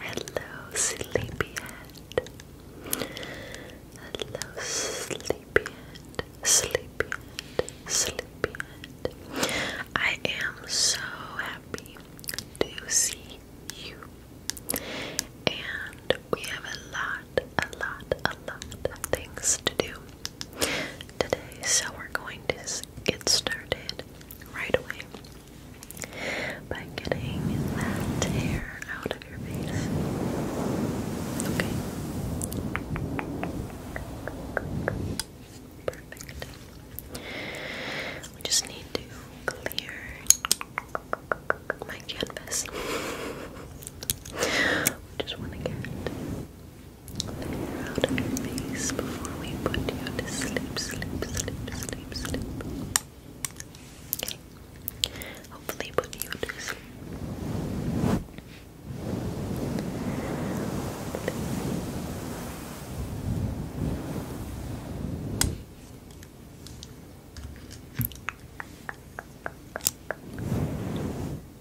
Hello, sleepyhead. Hello, sleepyhead. Sleepyhead. Sleepyhead. I am so happy to see you. And we have a lot, a lot, a lot of things to do today. So we're going to get started right away by getting that hair out of your face. Okay. Perfect. We just need to clear my canvas. just want to Clear out your face before we put you to sleep, sleep, sleep, sleep, sleep. Okay. Hopefully put you to sleep.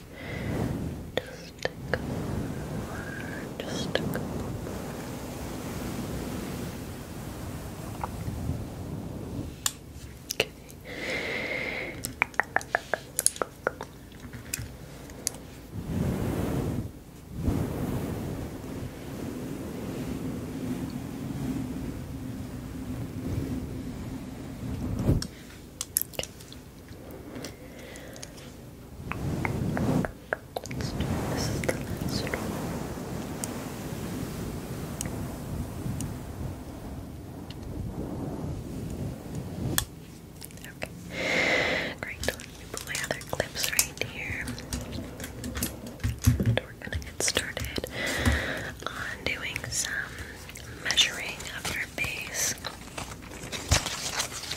Just a couple Just a couple Okay. This is the last one. Okay. Great. Let put my other clips right here. And we're gonna get started on doing some measuring of your face.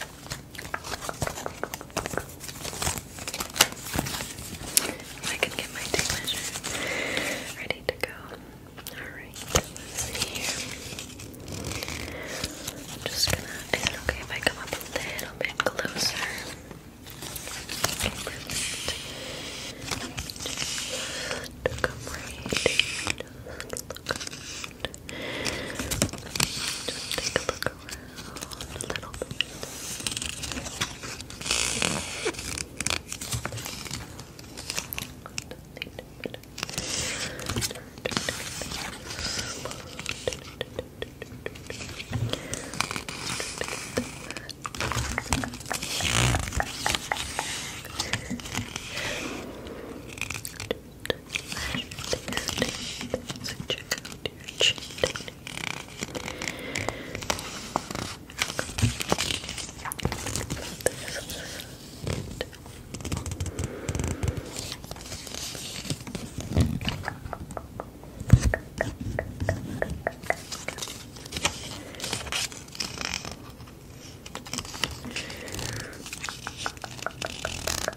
I can get my tape measure ready to go. Alright, here. am just gonna. Is it okay if I come up a little bit closer? Okay, perfect. right. Just just take a look around a little bit slash tasting. So check out your cheat Okay.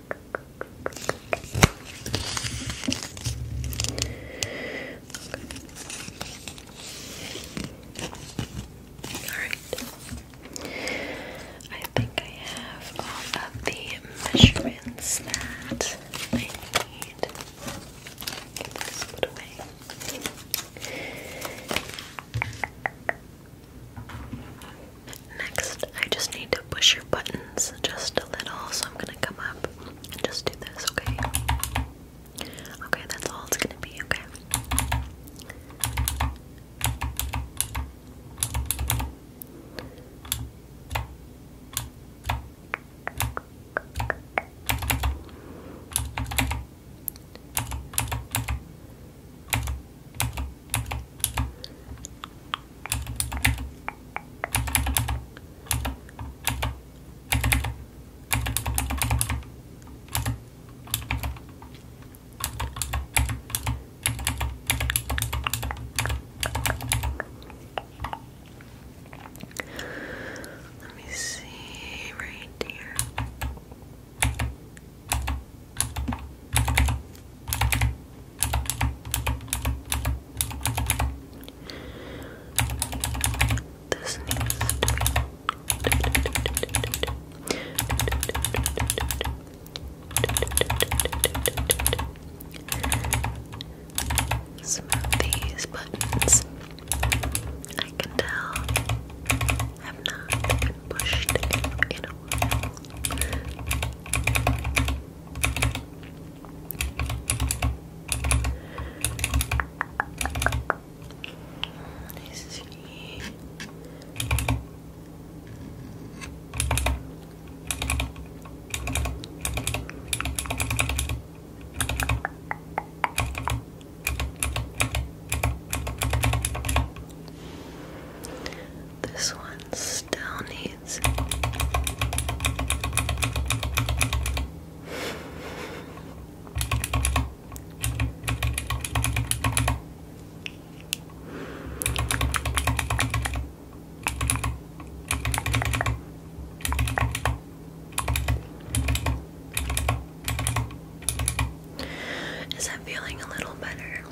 Alright. I think I have all of the measurements that I need. put away. Next, I just need to push your buttons just a little, so I'm gonna come up and just do this, okay? Okay, that's all it's gonna be, okay? Okay, let me see right here. This needs to be some these buttons I can tell have not been pushed in a Let's see. This one still please. Is that feeling a little better?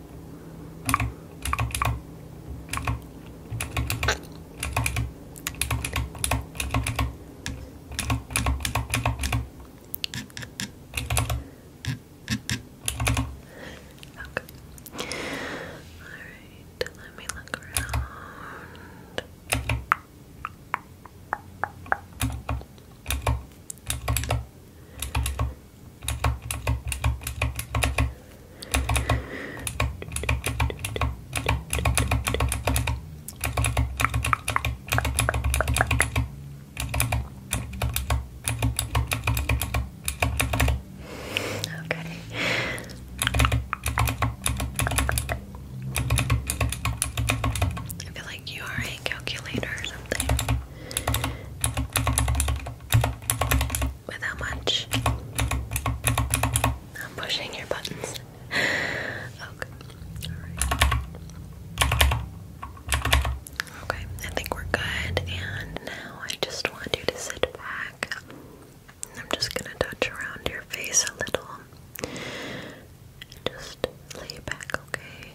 Okay. Alright, let me look around. Okay. I feel like you are a calculator or something with much I'm pushing your buttons. okay. I think we're good. And now I just want you to sit back. I'm just gonna touch around your face a little. Just lay back, okay?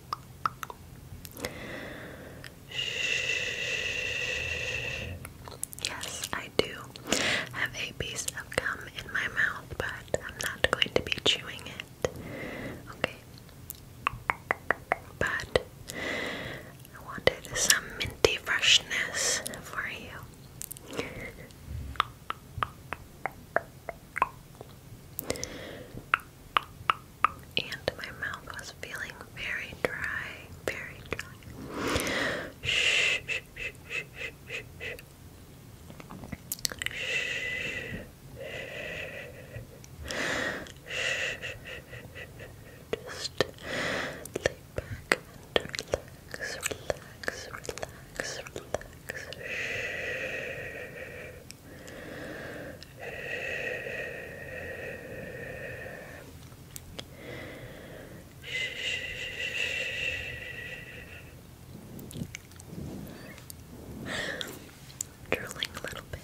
Yes, I do have a piece of gum in my mouth, but I'm not going to be chewing it. Okay. But I wanted some minty freshness for you and my mouth was feeling very dry, very dry. Shh, shh, shh, shh, shh, shh. Just lay back and relax, relax, relax, relax. Drilling a little bit.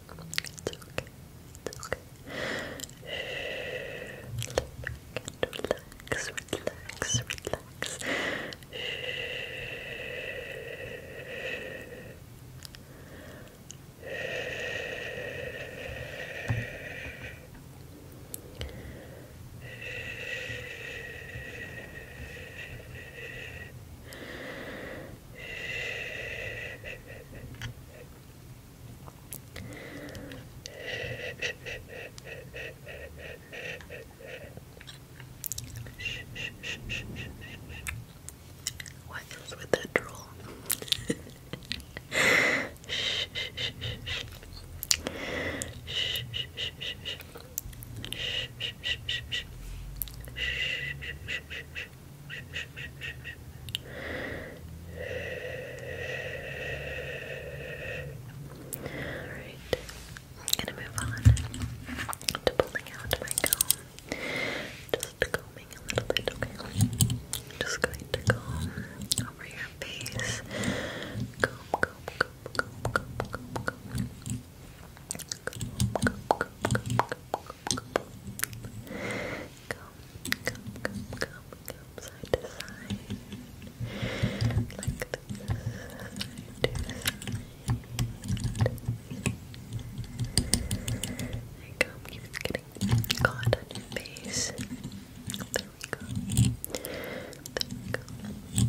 It's okay. It's okay. Shh. Lay back and relax, relax, relax. Shh. What is with that drool? Alright, gonna move on to pulling out my comb. Just combing a little bit, okay? Just going to comb over your face. Comb, comb, comb, comb, comb, comb, comb come side to side like this side to side my gum keeps getting caught on your face there we go there we go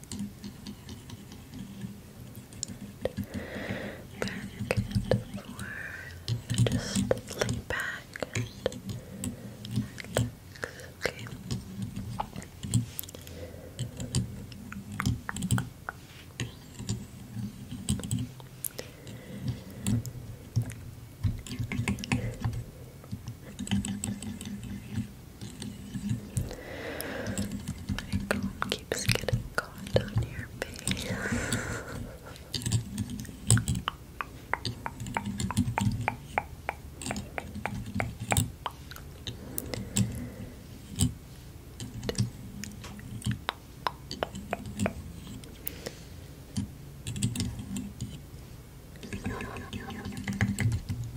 back and forth. Just lay back and Okay. My comb keeps getting caught on your face.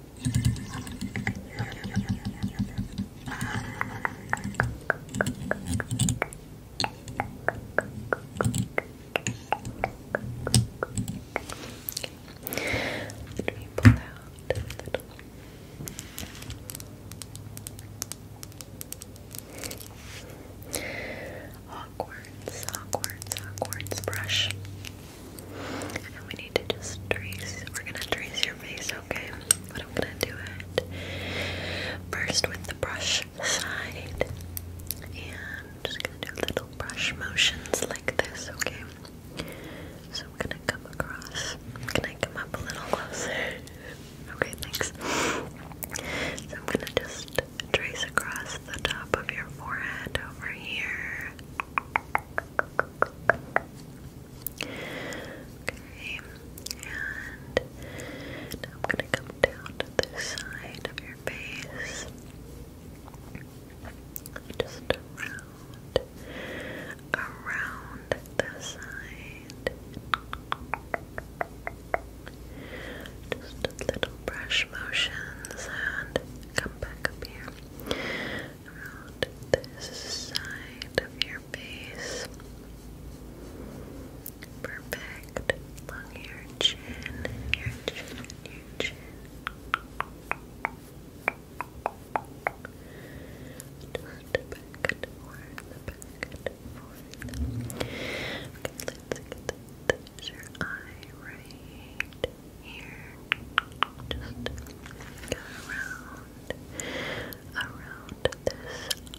Let me pull out a little. Awkward, awkward, awkward brush. And we need to just trace. We're gonna trace your face, okay? But I'm gonna do it first with the brush side. And I'm just gonna do little brush motions like this, okay? So I'm gonna come across. Can I come up a little closer? Okay, thanks. So I'm gonna just trace across the top of your forehead over here. Okay, and I'm gonna come down to the side of your face. Just around, around the side. Just little brush motions and come back up here around this side of your face. Perfect. Along your chin, your chin, your chin. Just back and forth, back and forth. Okay, let's get the your eye right here. Just go around,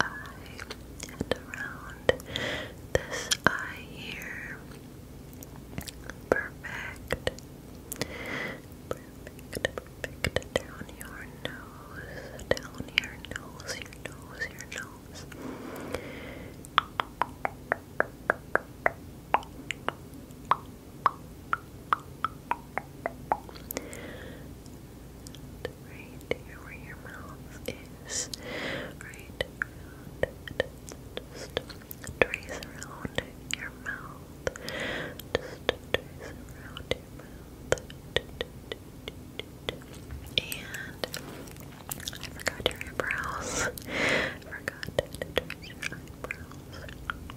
around this eye, and around this eye here. Perfect. Perfect, perfect. Down your nose, down your nose, your nose, your nose. Perfect. And right here where your mouth is, right around it. Just trace around your mouth. Just trace around your mouth. And I forgot your eyebrows. forgot to trace your eyebrows.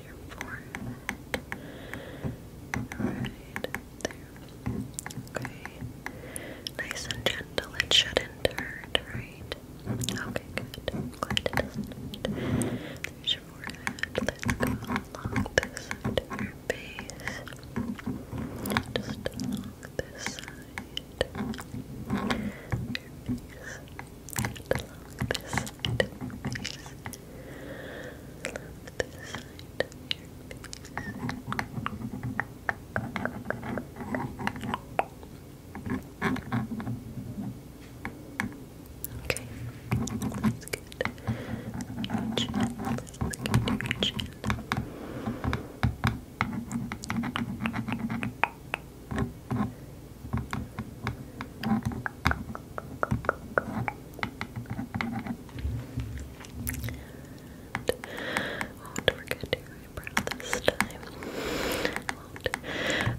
around your forehead. Right there. Okay. Nice and gentle. It shouldn't hurt, right? Okay, good. your forehead. let along this your face. Just along this side. Your face. along this Okay, that's good. Your chin, let's look at your chin. Okay won't forget your eyebrow this time.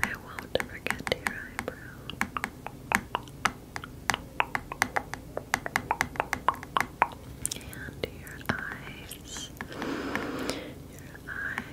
I won't, I won't forget your eyebrow. And Your eyes. Your eyes.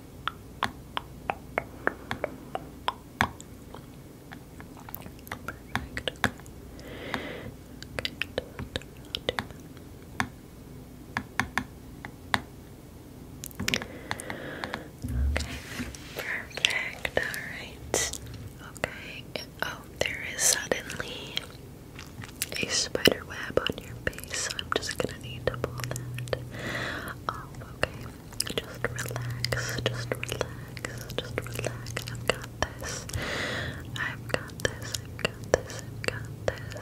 Okay. Perfect. All right. Okay. Oh, there is suddenly a spider web on your face, I'm just gonna need to pull that Oh, okay. Just relax, just relax, just relax. I've got this. I've got this, I've got this,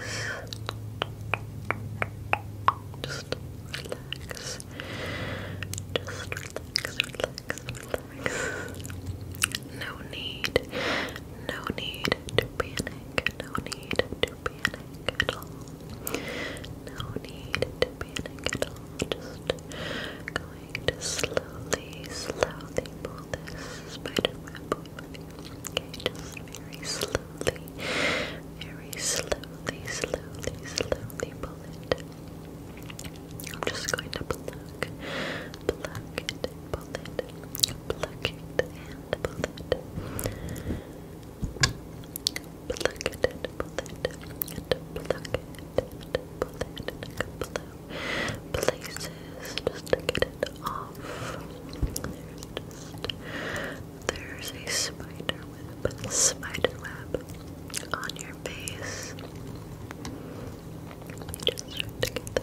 I've got this. Just relax. Just relax, relax, relax. No need, no need to panic, no need to no need to panic at all. Just going to slowly, slowly pull this spider just very slowly, very slowly, slowly, slowly pull it. I'm just going to pluck, pluck it, pull it, pluck it, and pull it. Pluck it and pull it and pluck it and pull it and blow places. Just to get it off. There's a spider web, spider web on your face. just to get that.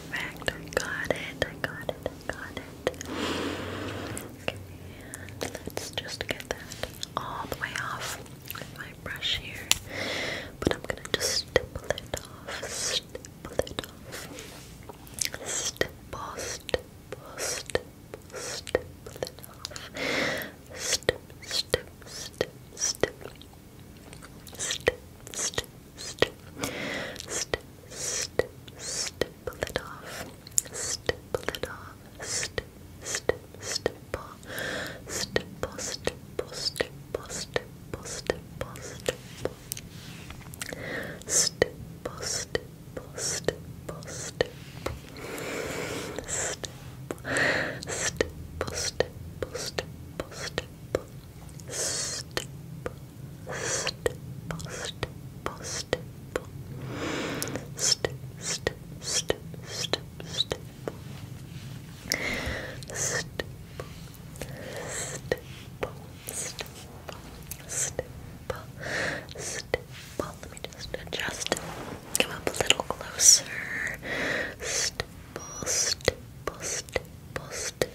Perfect. I got it. got it. got it. let's just get that all the way off with my brush here. But I'm gonna just stipple it off. Stipple it off. Stipple, stipple, stipple, stipple it off. Stip, stip, stip, stip. Stip, stip, stip. Stip, stip, stipple it off. Stipple it off. Stip, stip, stipple. Stipple, stipple, stipple, stipple, stipple, stipple. Stipple, stipple, stipple, stipple. Stipple, stipple, stipple, stipple, stipple step, step, step, step, step, step, step, step, step. Step, Let me just adjust. Come up a little closer. Step, step, step, step,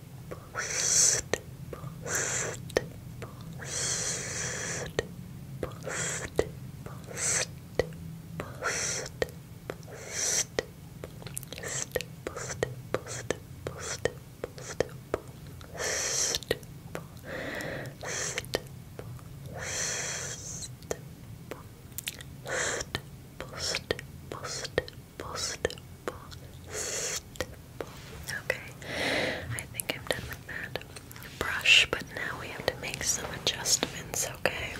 post, post, post, post, post, post, post, post, post, post, post, post, post, post, post, post, post, post, post, Okay, I think I'm done with that brush, but now we have to make some adjustments, okay?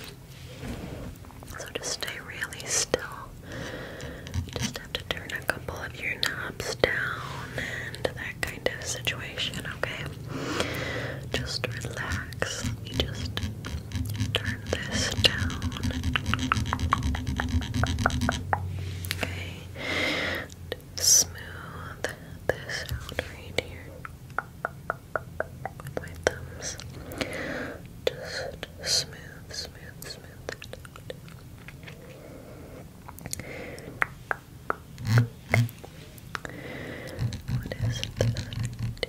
So just stay really still. Just have to turn a couple of your knobs down and that kind of situation, okay? Just relax. just turn this down. Okay. Smooth this out right here with my thumbs. Just smooth, smooth, smooth that What is it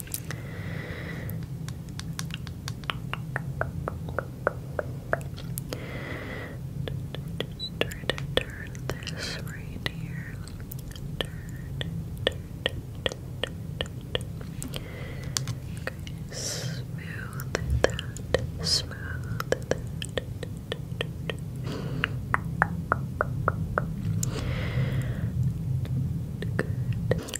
Try to turn this right here. smooth that, smooth that. Good.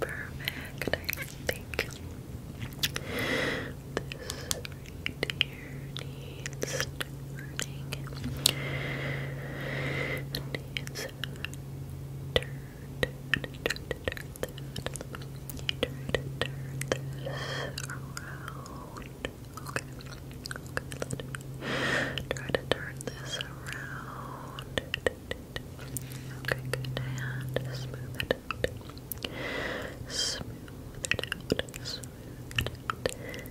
Perfect, I think this here needs turning. Needs turned. I need to turn that. I need to turn this around. Okay. Okay, let me try to turn this around. Okay, good. And smooth it out. Smooth it out. Smooth it out. Perfect.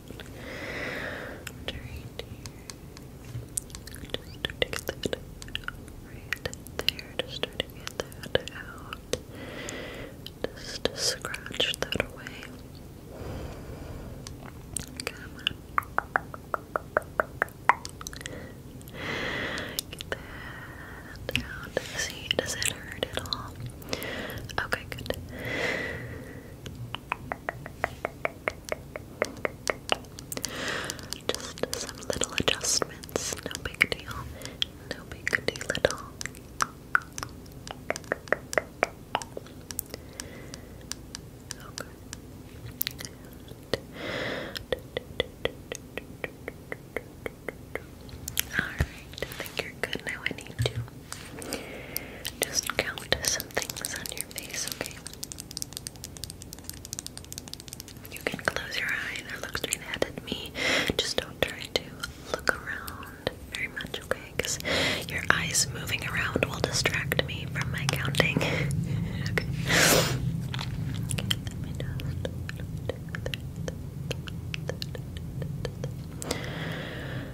Just start to get that right there. Just start to get that out. Just scratch that away. Come Get that out. See, does it hurt at all? Okay, good. Just some little adjustments, no big deal, no big deal at Alright, I think you're good now. I need to just count some things on your face, okay? You can close your eyes or look straight ahead at me. Just don't try to look around very much, okay? Because your eyes moving around will distract me from my counting.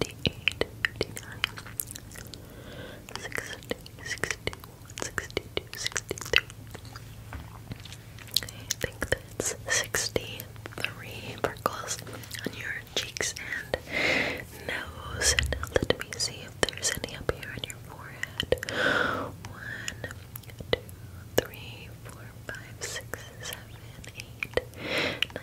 58, 59, 60, 61, 62, 63. Okay, I think that's 63 freckles on your cheeks and nose. And let me see if there's any up here on your forehead. One, two, three, four, five, six, seven, eight,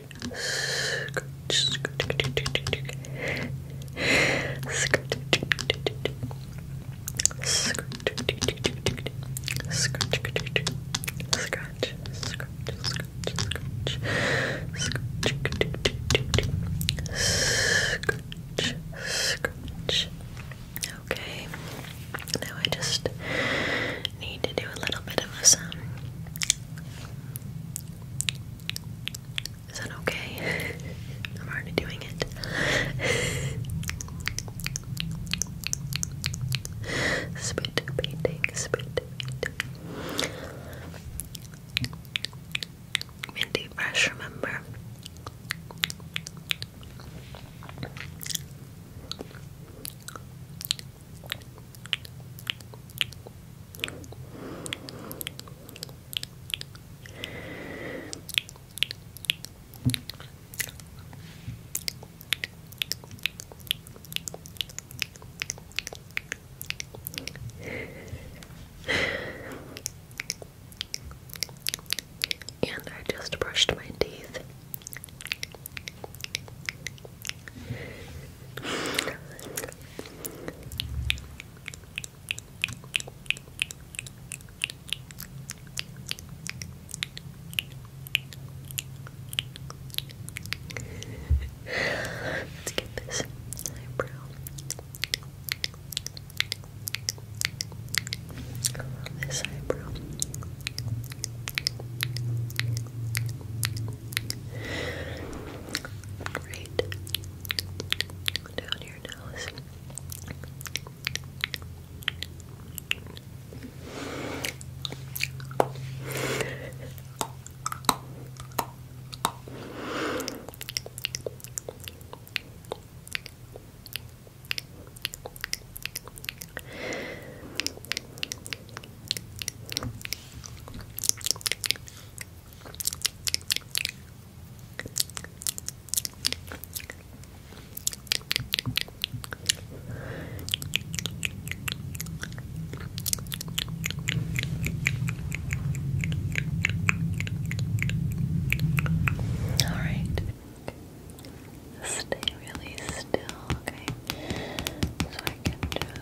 scratch. Okay, now I just need to do a little bit of some is that okay? I'm already doing it. spit painting, spit painting. Minty Fresh, remember? And I just brushed my teeth. Let's get this eyebrow. This eyebrow. Great down your nose. All right. Stay really still, okay? So I can just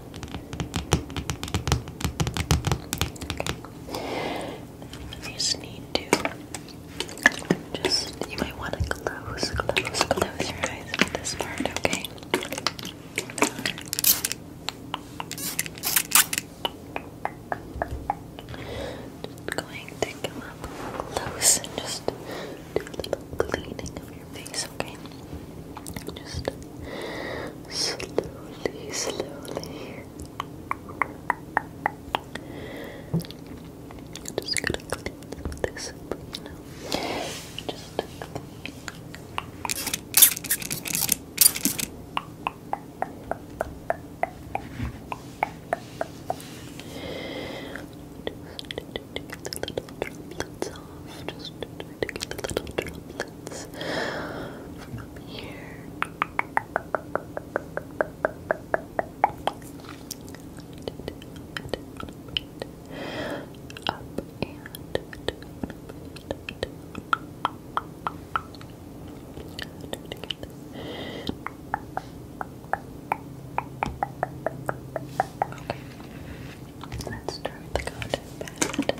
You just need to just you might want to close, close, close your eyes at this part, okay? Just going to come up close and just do a little cleaning of your face, okay? Just slowly, slowly. just gonna clean this up, you Just just the little droplets off. Just trying to get the little droplets from here. Up and Let's start the cotton pad.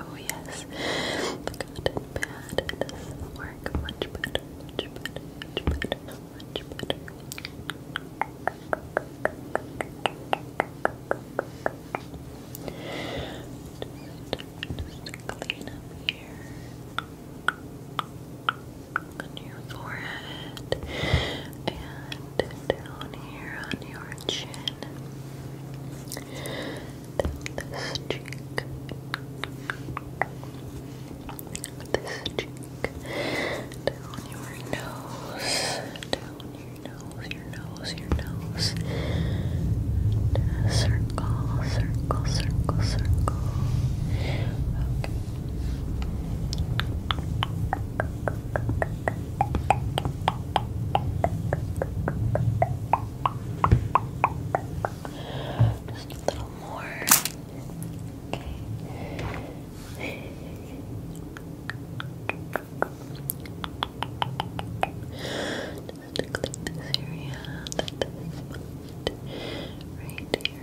Oh yes, the cotton pad does much better, just clean up here on your forehead and down here on your chin. this cheek. This cheek. Down your nose. Down your nose, your nose, your nose. circle, circle, circle, circle. Just a little more. Okay. Just click this area, right here.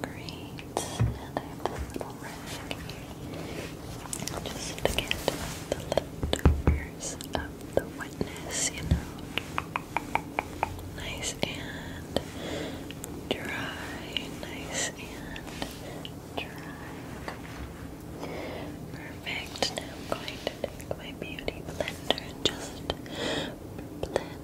Great. And I have this little rag. Just to get the leftovers of the wetness, you know. Nice and dry. Nice and dry. Perfect. Now I'm going to take my beauty blender and just blend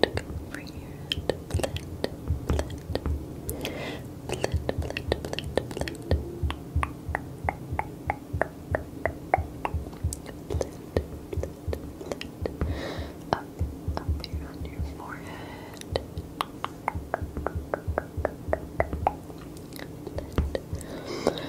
to come over here and blend, blend, blend, blend, blend, blend. Blend, blend, blend. Up, up here on your forehead. Blend, blend, blend, blend, blend, blend, blend.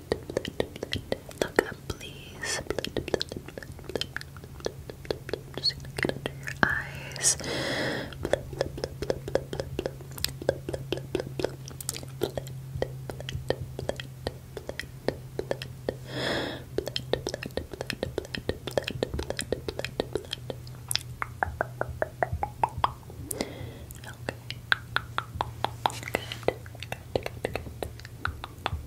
Look up, please. Just gonna get under your eyes. Okay. Good. Good. Good. Good.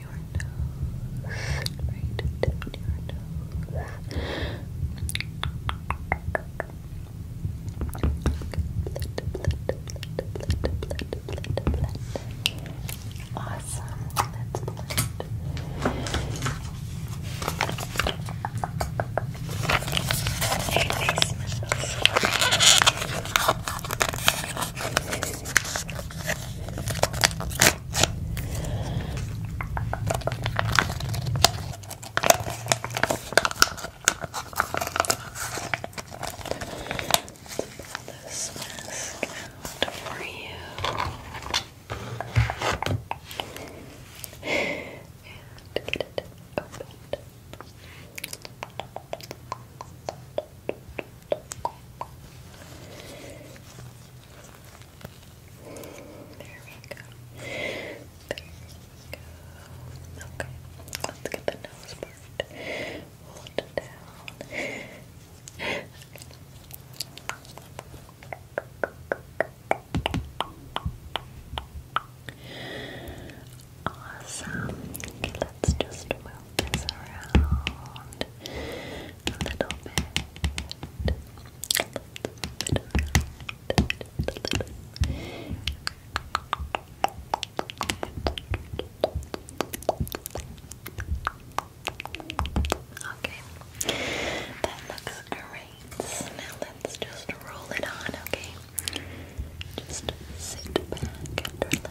your nose. Right down your nose. Awesome. Let's blend this mask out for you. And get it opened. There we go. There we go. Okay, let's get the nose part. Hold it down. Awesome. let's just this around a little bit. A little bit A little bit. Okay, that looks great. Now let's just roll it on, okay? Just sit back and relax.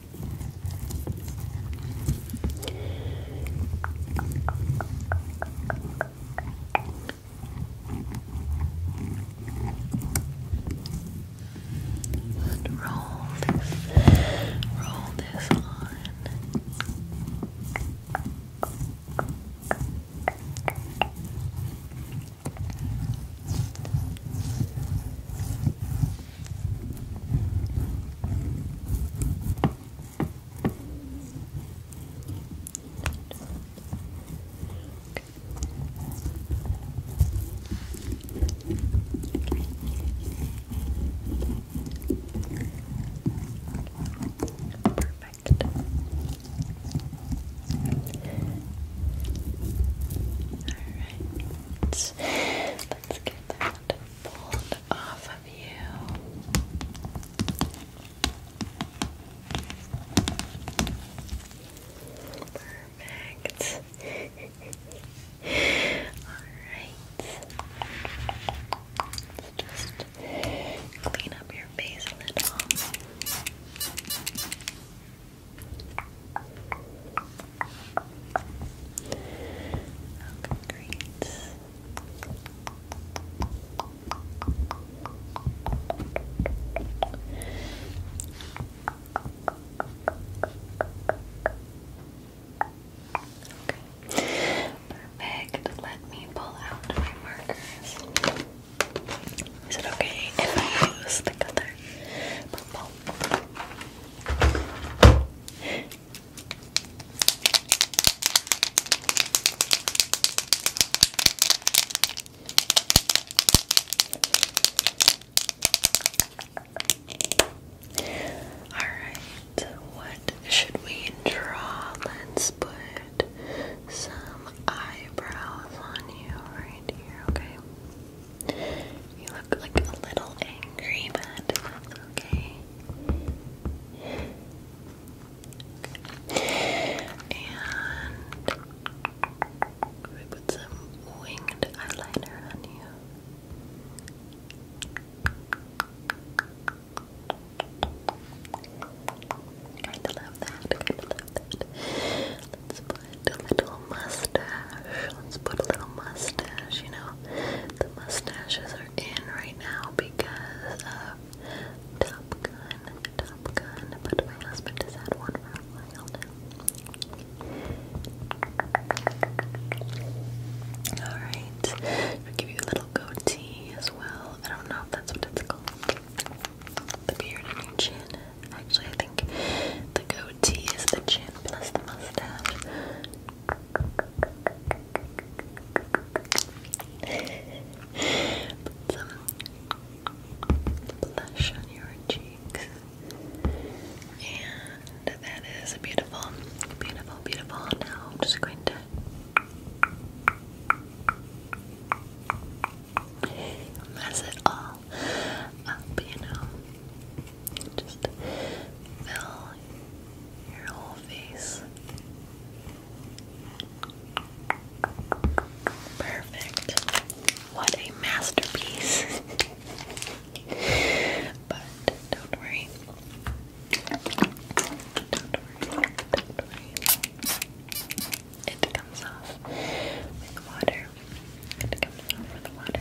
And roll this, roll this on. Perfect. All right. Let's get that pulled off of you. Perfect. Alright. just clean up your face a little. Okay, great. Perfect. Let me pull out my markers. Is it okay if I use the color purple? Alright, what should we draw? Let's put some eyebrows on you right here, okay? You look like a little angry, but that's okay. And we put some winged eyeliner on you. kind love that, kind love that. Let's put a little mustache. Let's put a little mustache, you know. The mustaches are in right now because of Top Gun, Top Gun, but my husband has had one for a while now. Alright, I'll give you a little goatee as well. I don't know if that's what it's called. The beard and your chin. Actually, I think the goatee is the chin plus the mustache some blush on your cheeks. And that is beautiful, beautiful, beautiful. Now I'm just going to mess it all up, you know. Just fill your whole face. Perfect. What a masterpiece. but don't worry. Don't worry. Don't worry. It comes off with water. It comes off with water.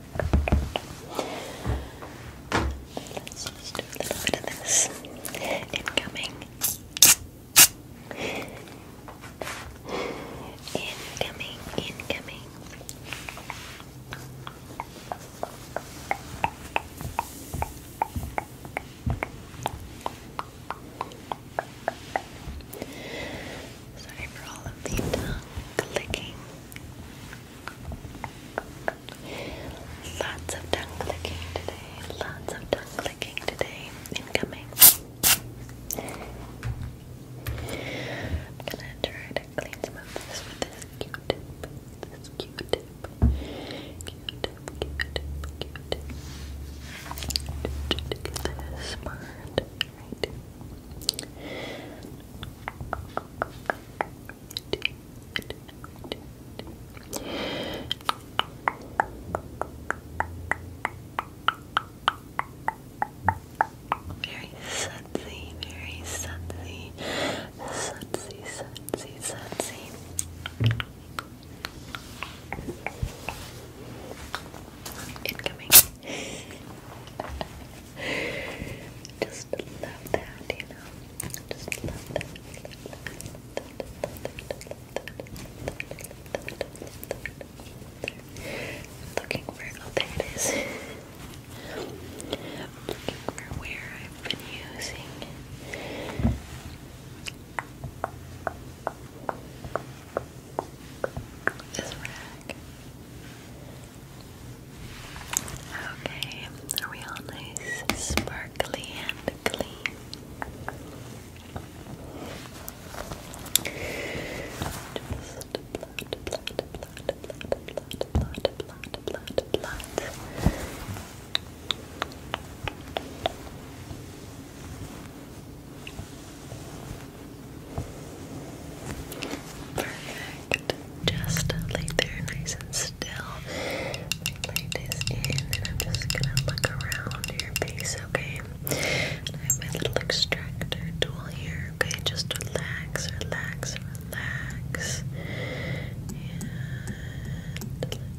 Let's just a little bit of this incoming. Incoming, incoming. Sorry for all of the tongue clicking. Lots of tongue clicking today. Lots of tongue clicking today. Incoming. I'm gonna try to clean some of this with this Q-tip. This Q-tip. Q-tip. Q-tip. Q-tip. To get this part very sudsy, very sudsy, sudsy, sudsy, sudsy. Incoming. Just love that, you know. I'm looking for oh there it looking for where I've been using this rag. Okay, are we all nice, sparkly, and clean? Just blot, blot, blot, blot, blot, blot, blot, blot. Perfect just lay there nice and still. I lay this in and I'm just gonna look around your face, okay? I have my little extractor tool here, okay? Just relax, relax, relax. And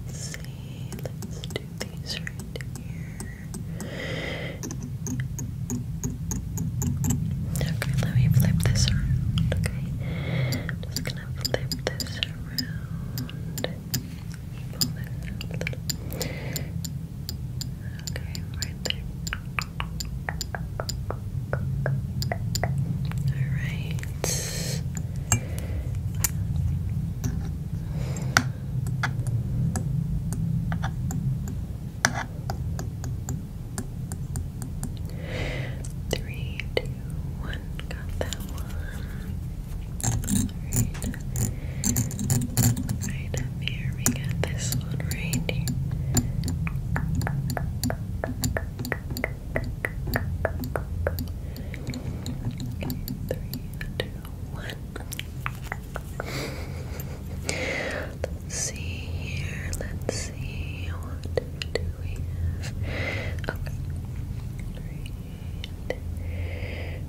let's see, let's do these right here. Okay, let me flip this around, okay? I'm just gonna flip this around. Okay, right there. Alright. Three, two, one, got that one. Right. up here, we got this one right here. three, two, one. Let's see here. Let's see. One, two, two, we have? Okay.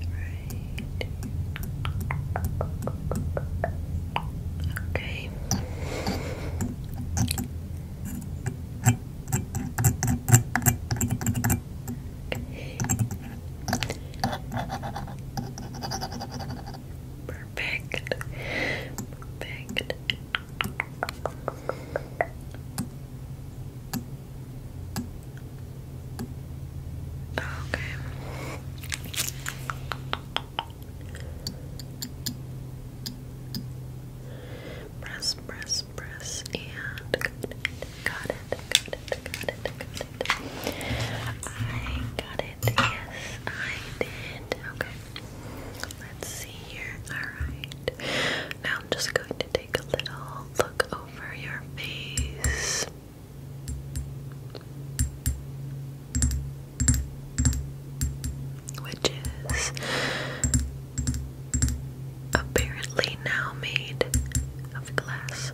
Right. Right. Okay. Perfect. Perfect. Okay. Press, press, press, and got it, got it, got it, got it. I got it, yes, I did. Okay. Let's see here. Alright. Now I'm just going to take a little look over your face. Which is apparently now made of glass.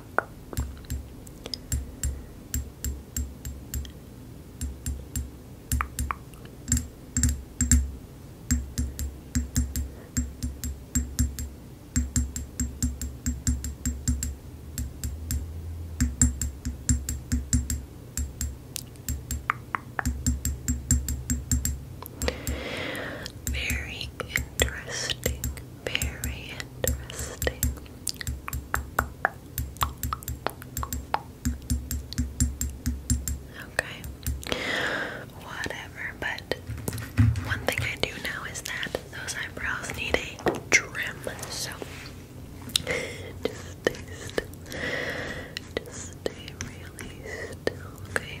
Very interesting. Very interesting. Okay. Whatever, but one thing I do know is that those eyebrows need a trim, so just stay Just stay really still, okay?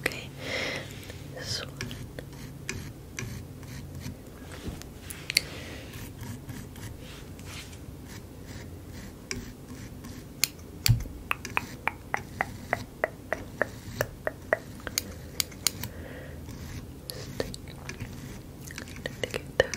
Okay, this one. Just get that.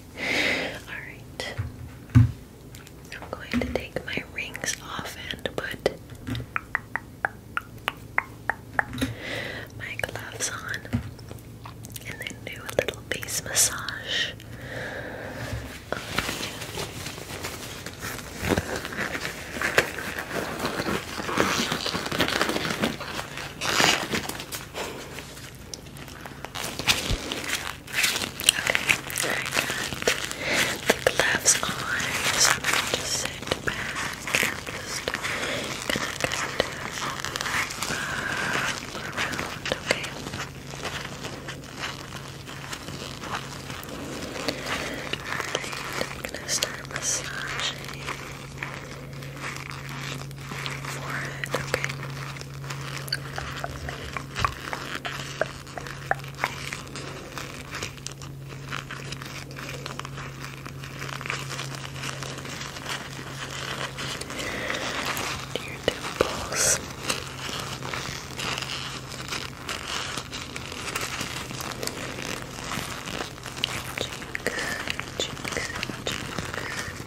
Alright. I'm going to take my rings off and put my gloves on and then do a little face massage. Okay, the gloves on, just sit back just kind of uh, around, okay? I'm gonna start massaging. Dear dimples, Cheeks, cheeks, cheeks.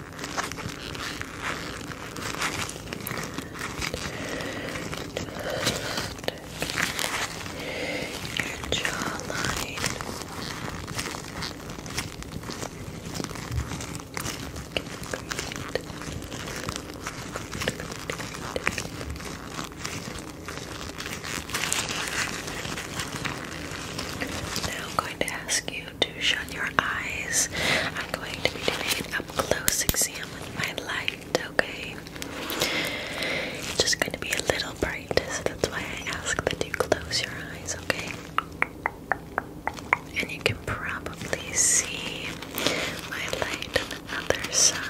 Your jawline. Now I'm going to ask you to shut your eyes. I'm going to be doing an up close exam with my light, okay? It's just going to be a little bright, so that's why I ask that you close your eyes, okay? And you can probably see my light on the other side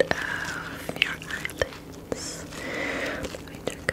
of your eyelids. Let me check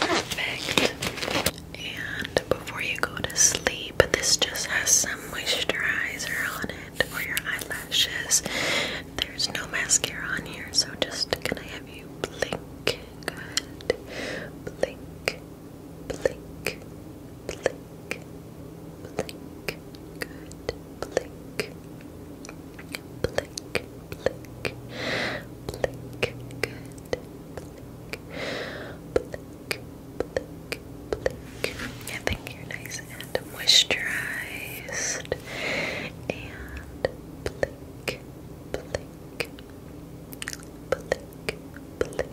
Perfect. And before you go to sleep, this just has some moisturizer on it for your eyelashes. There's no mascara on here, so just gonna have you blink. Good. Blink blink, blink, blink, good, blink, blink, blink, blink, good, blink, blink, blink. I think you're nice and moisturized and blink, blink, blink, blink.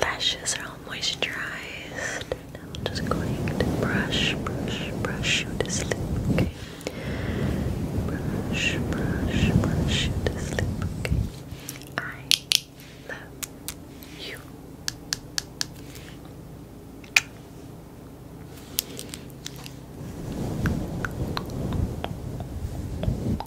Lashes are all moisturized. Now I'm just going to brush, brush, brush you to sleep, okay? Brush, brush, brush you to sleep, okay? I love you.